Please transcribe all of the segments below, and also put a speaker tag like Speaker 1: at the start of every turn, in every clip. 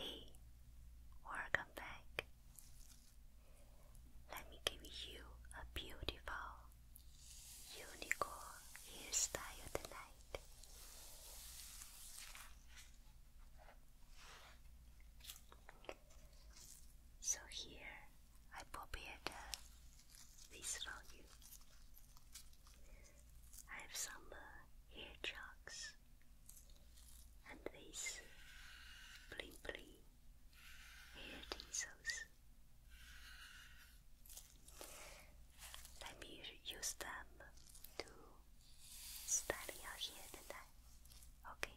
Speaker 1: Hey, welcome back. Let me give you a beautiful unicorn hairstyle tonight. So here I prepared a this value. I have some hair chucks and these bling bling hair tinsels. Let me use them to style your hair tonight. Okay.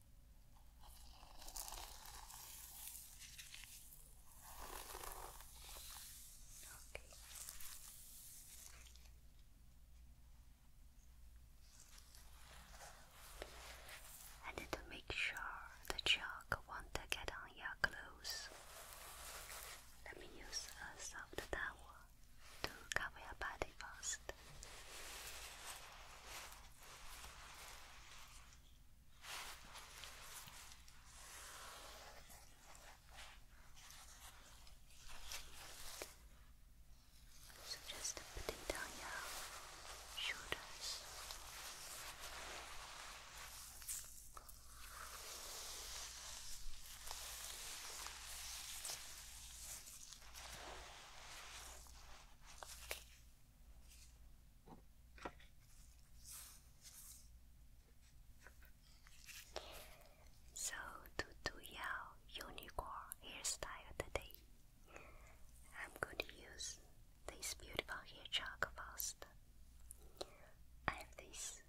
Speaker 1: Okay. And to make sure the chalk won't get on your clothes, let me use a soft towel to cover your body first. So just put it down your shoulders. Okay. So to do your unicorn hairstyle today, I'm going to use this beautiful hair chalk first. I this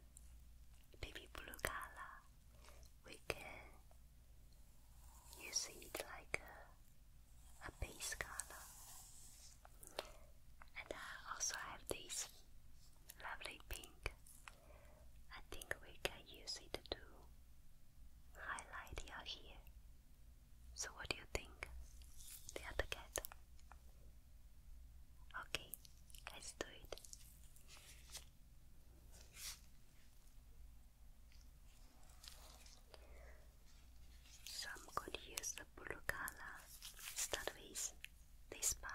Speaker 1: baby blue color. We can use it like a base color. And I also have this lovely pink. I think we can use it to highlight your hair. So what do you think? The other cat. Okay, let's do it. Some could use the blue color. Start with this part.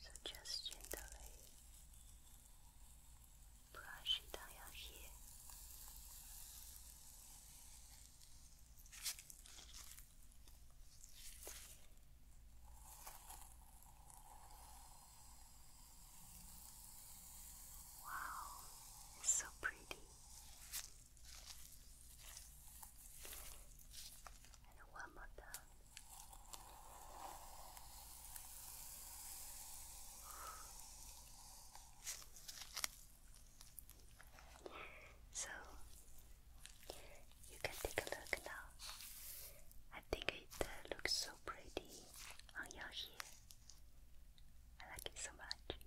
Speaker 1: So just gently brush it on your Wow, it's so pretty. And one more time. So you can take a look now. I think it uh, looks so pretty on your hair. I like it so much.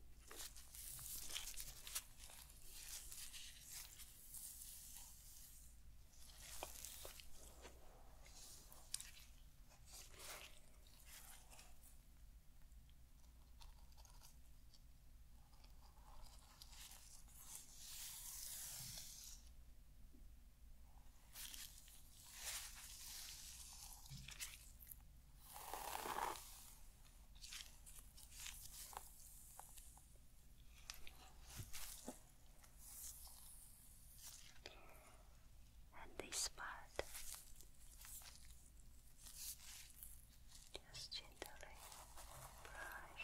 Speaker 1: And this part, just gently brush.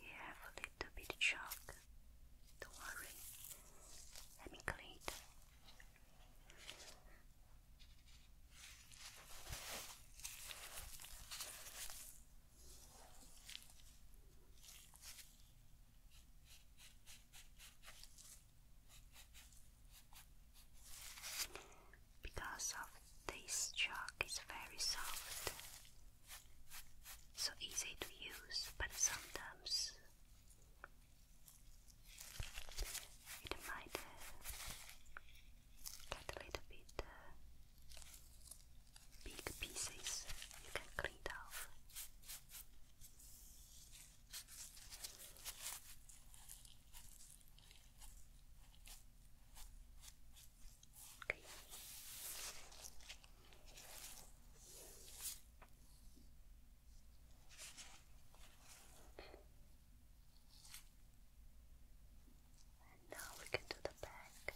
Speaker 1: You have a little bit shock. Don't worry. Let me clean because of this chalk is very soft, so easy to use, but sometimes it might uh, get a little bit uh, big pieces you can clean it off. Okay. And now we can do the back.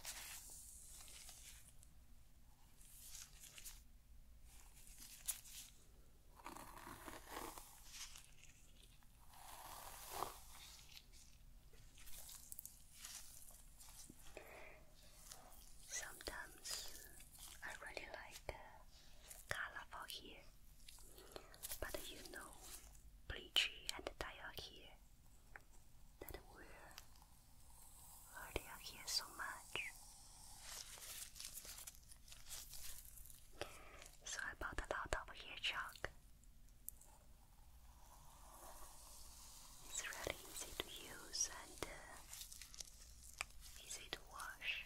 Speaker 1: Sometimes I really like color for hair, but you know, bleaching and dye hair that will hurt your hair so much. So I bought a lot of ear chalk. It's really easy to use and uh, easy to wash.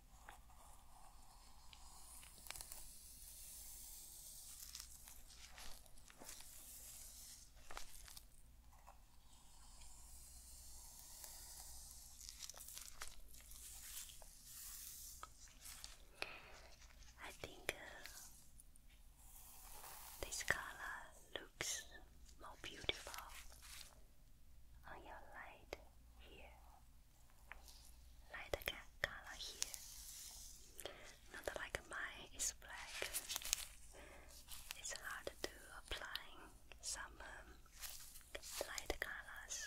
Speaker 1: I think uh, this color looks more beautiful on your light here light color here. Not like mine is black. It's hard to apply some um, light colors.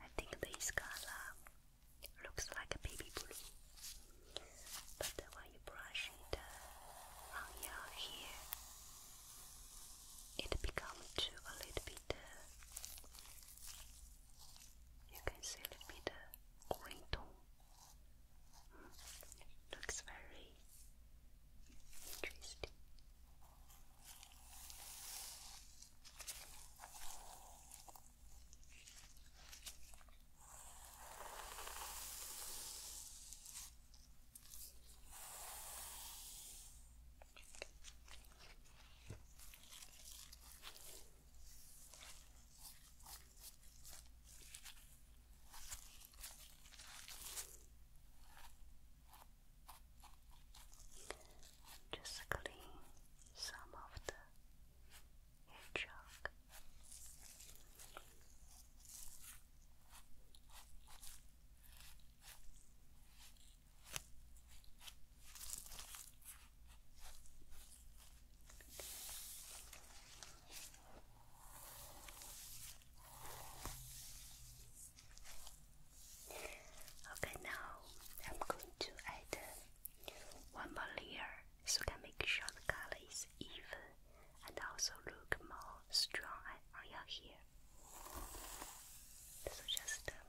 Speaker 1: I think this color looks like a baby blue, but when you brush it uh, on your hair, it becomes a little bit uh, you can see a little bit of green Looks very interesting. Just clean some of the chalk. Okay, now I'm going to add uh, one more layer so can make sure the color is even and also look more strong on your hair. So just um,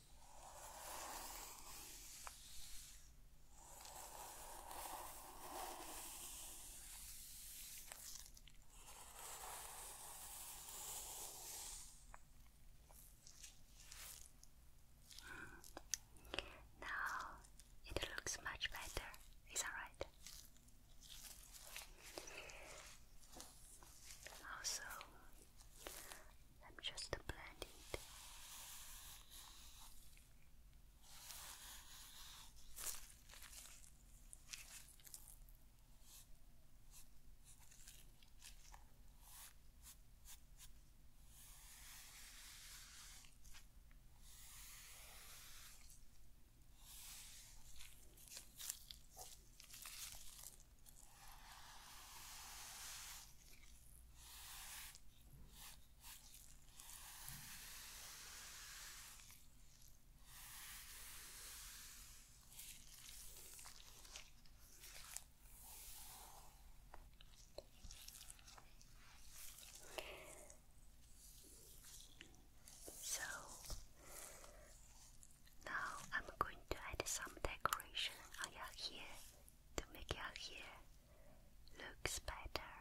Speaker 1: Now it looks much better, is that Also, I'm just blending it. So now I'm going to add some decoration on your hair to make your hair looks better.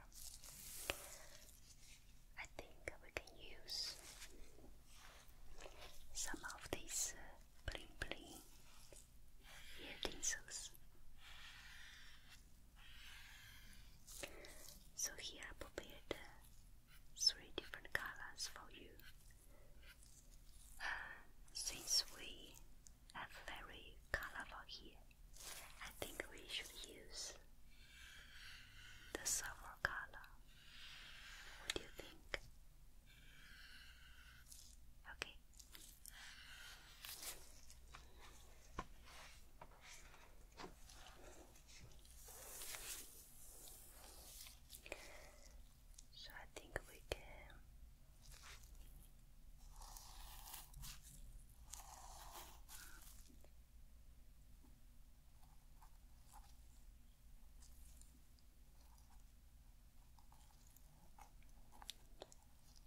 Speaker 1: I think we can use some of these uh, bling bling ear tinsels. So here I prepared uh, three different colors for you. Since we are very colorful here, I think we should use the silver color. What do you think? Okay. So I think we can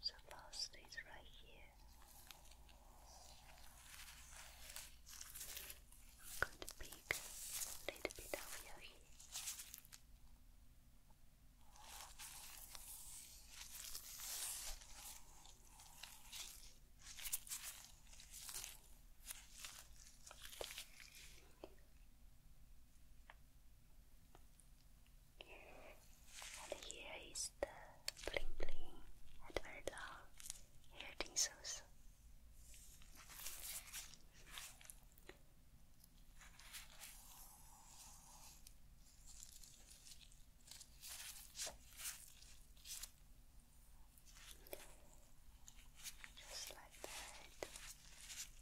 Speaker 1: so last is right here. I'm going to pick a little bit of your and here is the bling bling advert on hair just like that. Okay.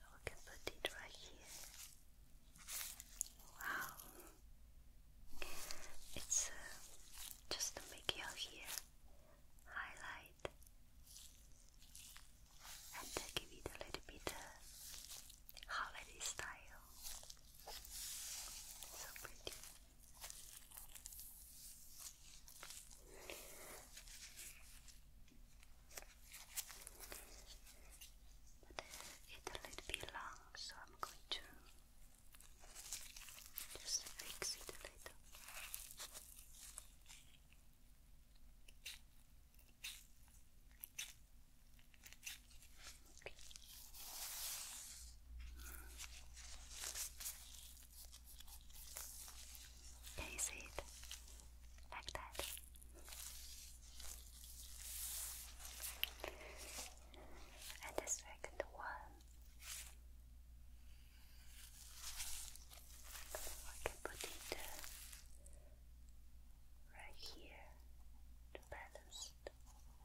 Speaker 1: Now we can it right here. Wow. It's uh, just to make your hair highlight and give it a little bit uh, holiday style. So pretty. it's a little bit long, so I'm going to just fix it a little. Okay. Can you see it? Like that. And the second one, I can put it uh, right here to balance.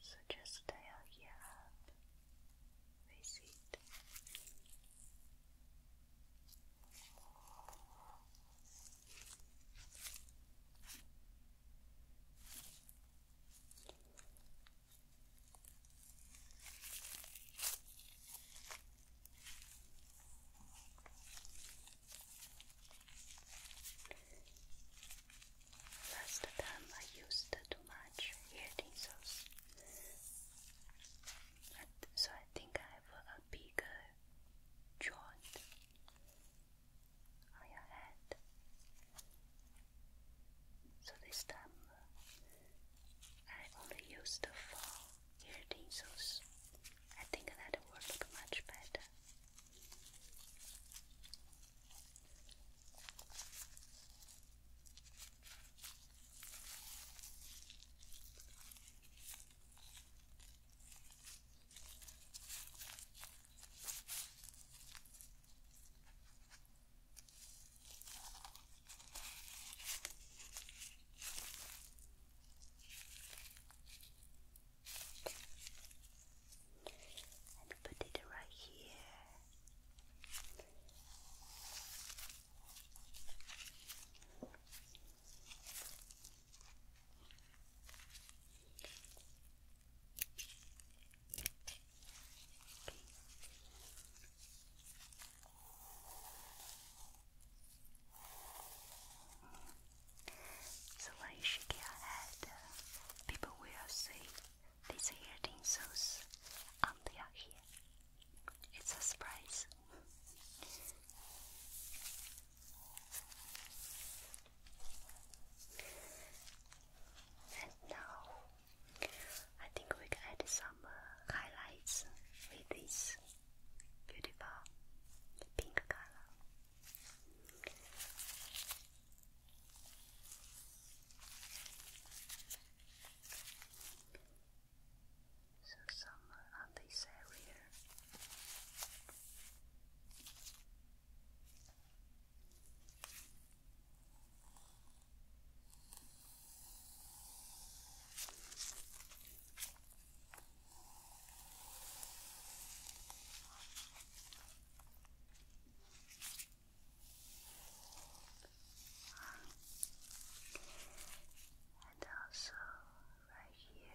Speaker 1: So just dial here up, Last time I used too much hair tinsels, so I think I have a bigger joint on your head. So this time I only used the four ear I think that will look much better. And put it right here. So when you shake your uh, people will see these hair tinsels on um, their hair. It's a surprise. and now I think we can add some uh, highlights with this beautiful pink color. So some on this area. And also right here.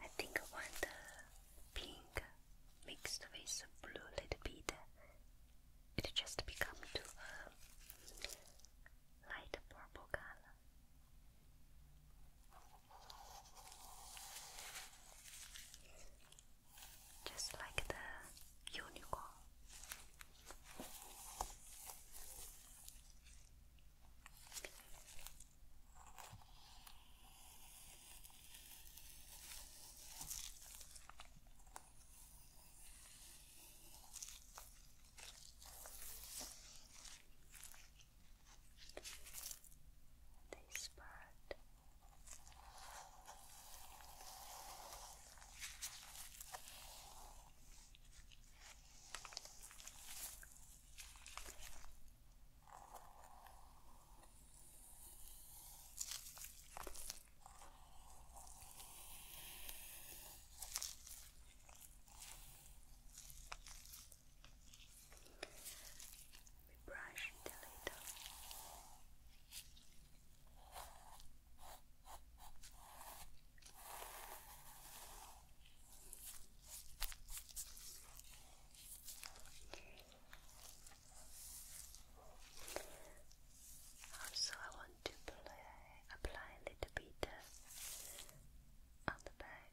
Speaker 1: I think I want the pink mixed with blue little bit. It just become to a light purple color. Just like the unicorn. This part. We brush a little. Also, I want to apply a little bit uh, on the back.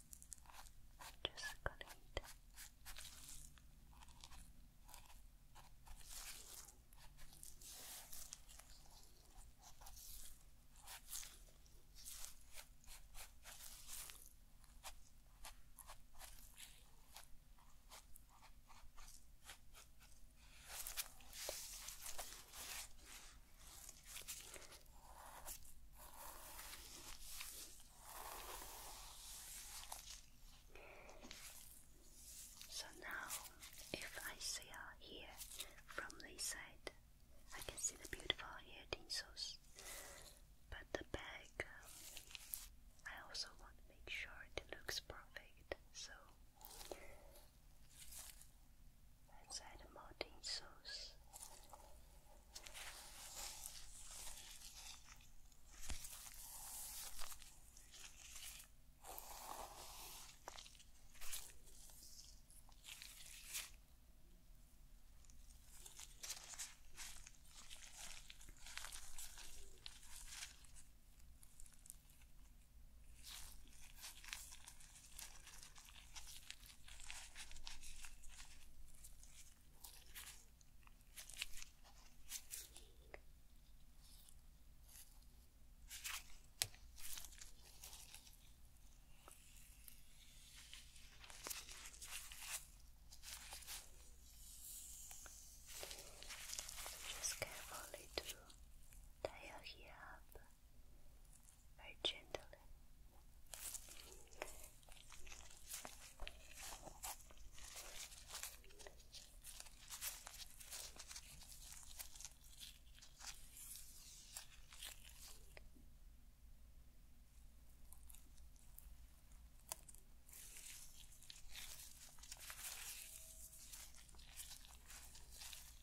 Speaker 1: Just cut it. Just so now, if I see our from this side, I can see the beautiful hair tinsels. But the bag, um, I also want to make sure it looks perfect. So Let's add a Martin sauce. Just carefully to tie your hair up very gently.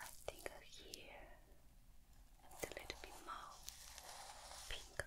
Speaker 1: I think here a little bit more pink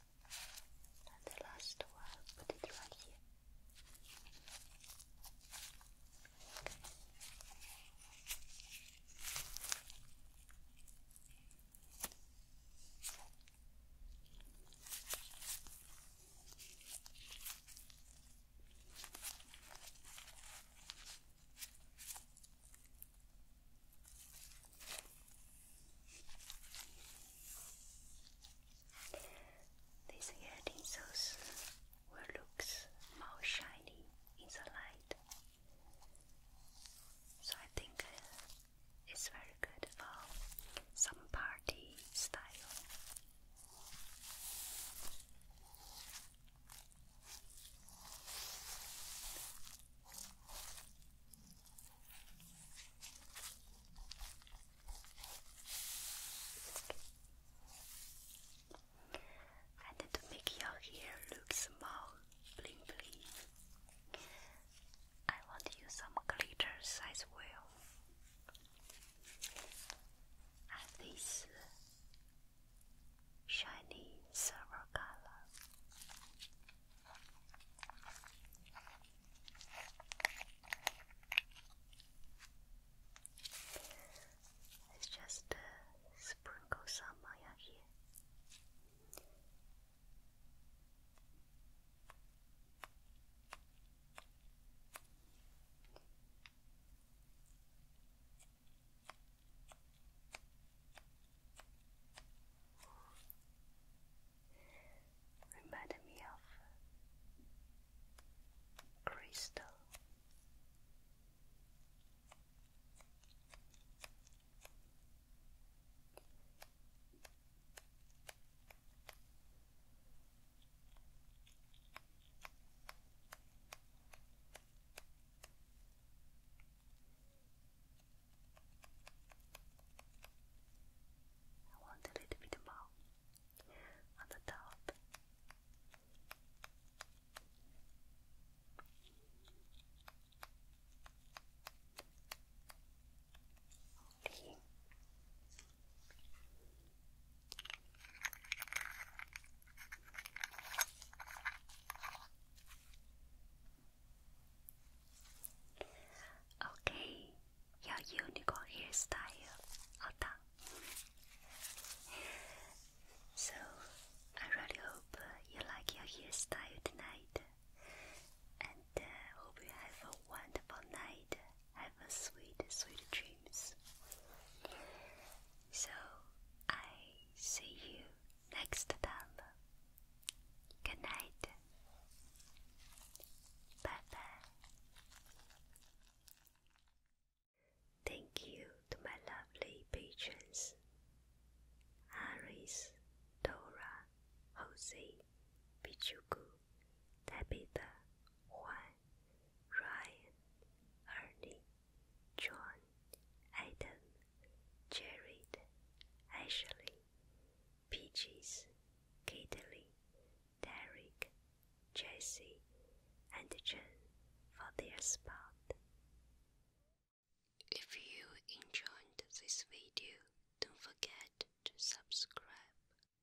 Speaker 1: And the last one, put it right here. Okay. This earring sauce will look more shiny in the light. So I think uh, it's very good for some party style. I need to make your hair look small, bling bling, I want to use some glitter as well. And this shiny silver color. Let's just uh, sprinkle some Maya here. Reminded me of crystal. I want a little bit more on the top. Okay. Okay, your unicorn hairstyle all So I really hope uh, you like your hairstyle tonight, and uh, hope you have a wonderful night. Have a sweet, sweet dreams. So I see you next time. Good night. Bye bye. Thank you to my lovely patrons Aris, Dora, Jose, Pichuku, Tabitha, Juan, Ryan, Ernie, John, Adam, Jared, Ashley, Peaches, Caitlin, Derek, Jesse, and Jen for their spot. If you enjoyed this video, don't forget to subscribe.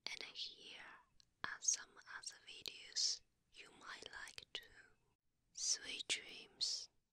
Speaker 1: And here are some other videos you might like too. Sweet dreams.